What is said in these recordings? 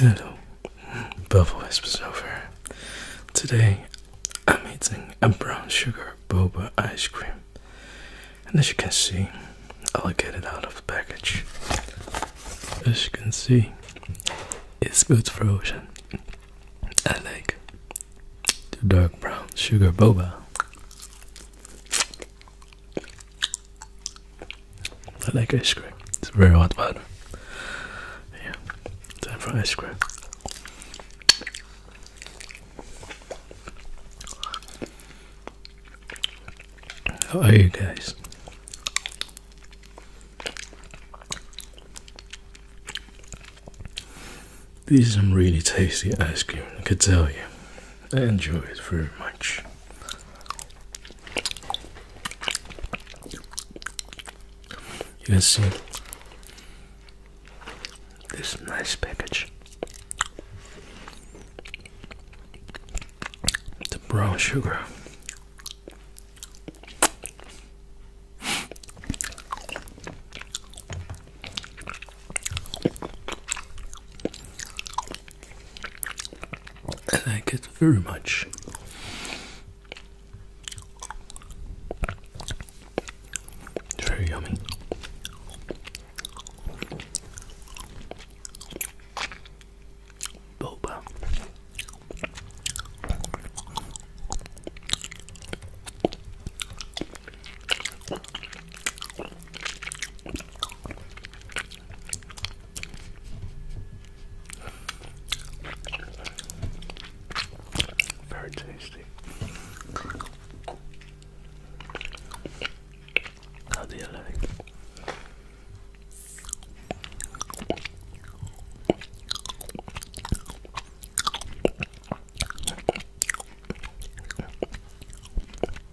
Hello, Bubble Wisps over. Today I'm eating a brown sugar boba ice cream. And as you can see, I'll get it out of the package. As you can see, it's good frozen. I like the dark brown sugar boba. I like ice cream. It's very hot but Yeah, time for ice cream. How are you guys? This is some really tasty ice cream, I could tell you. I enjoy it very much. You can see this nice package. The brown sugar. I like it very much. very yummy. Boba. Very tasty. How do you like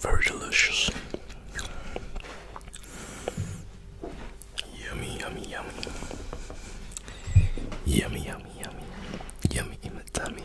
Very delicious. Yummy, yummy, yummy. Yummy, yummy, yummy. Yummy in my tummy.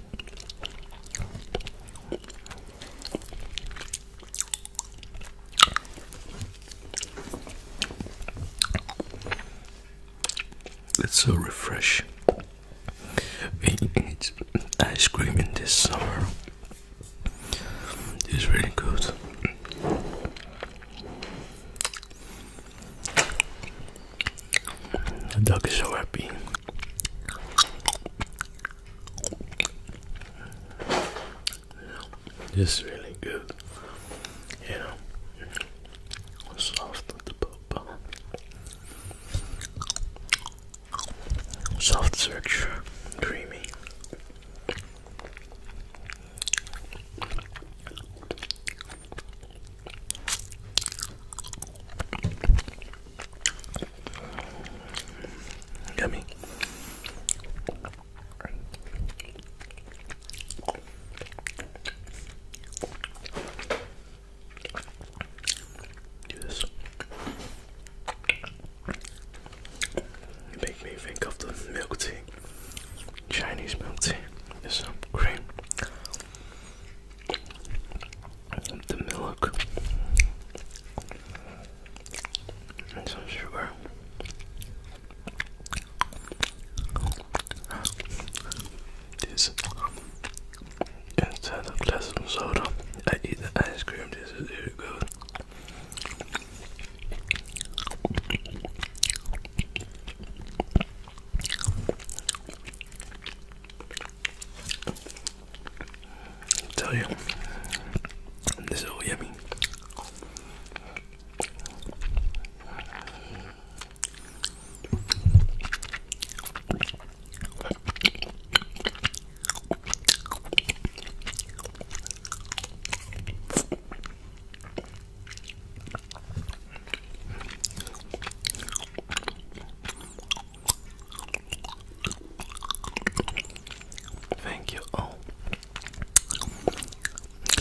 It's so refresh. We eat ice cream in this summer. It's really good. The dog is so happy. This is really good. You know, soft the pop. Soft structure, creamy. Yummy. Do this. make me think of the milk tea, Chinese milk tea. There's some cream, the milk and some sugar. This instead of glass of soda, I eat the ice cream. This is really good tell you, this is all yummy. Thank you all.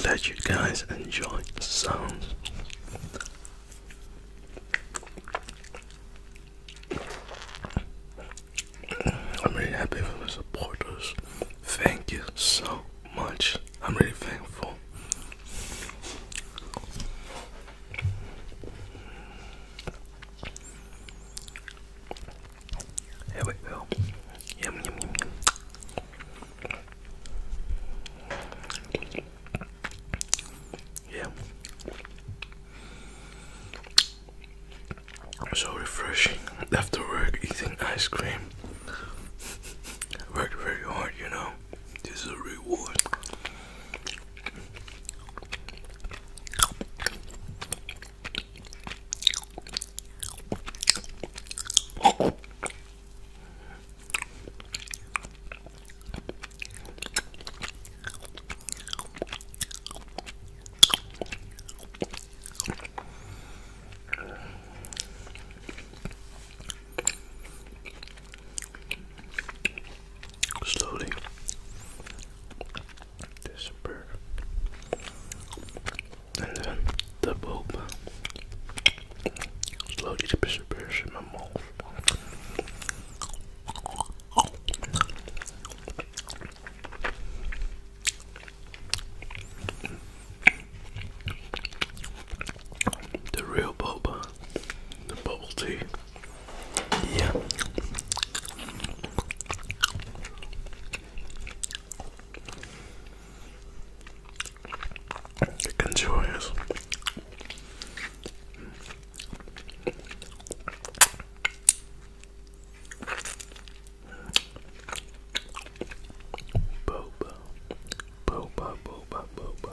Glad you guys enjoy the sounds. I'm really happy for the supporters. Thank you so much. I'm really thankful. Here we go. Yum yum yum yum. Yeah. So refreshing after work eating ice cream. Worked very hard, you know. This is a reward. Slowly disappear, and then the bulb slowly disappears in my mouth. The real boba, the bubble tea. Yeah. You can Boba. Boba, boba, boba. Boba.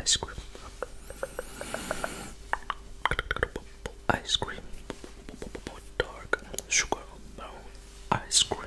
Ice cream. Ice cream. Dark sugar brown ice cream.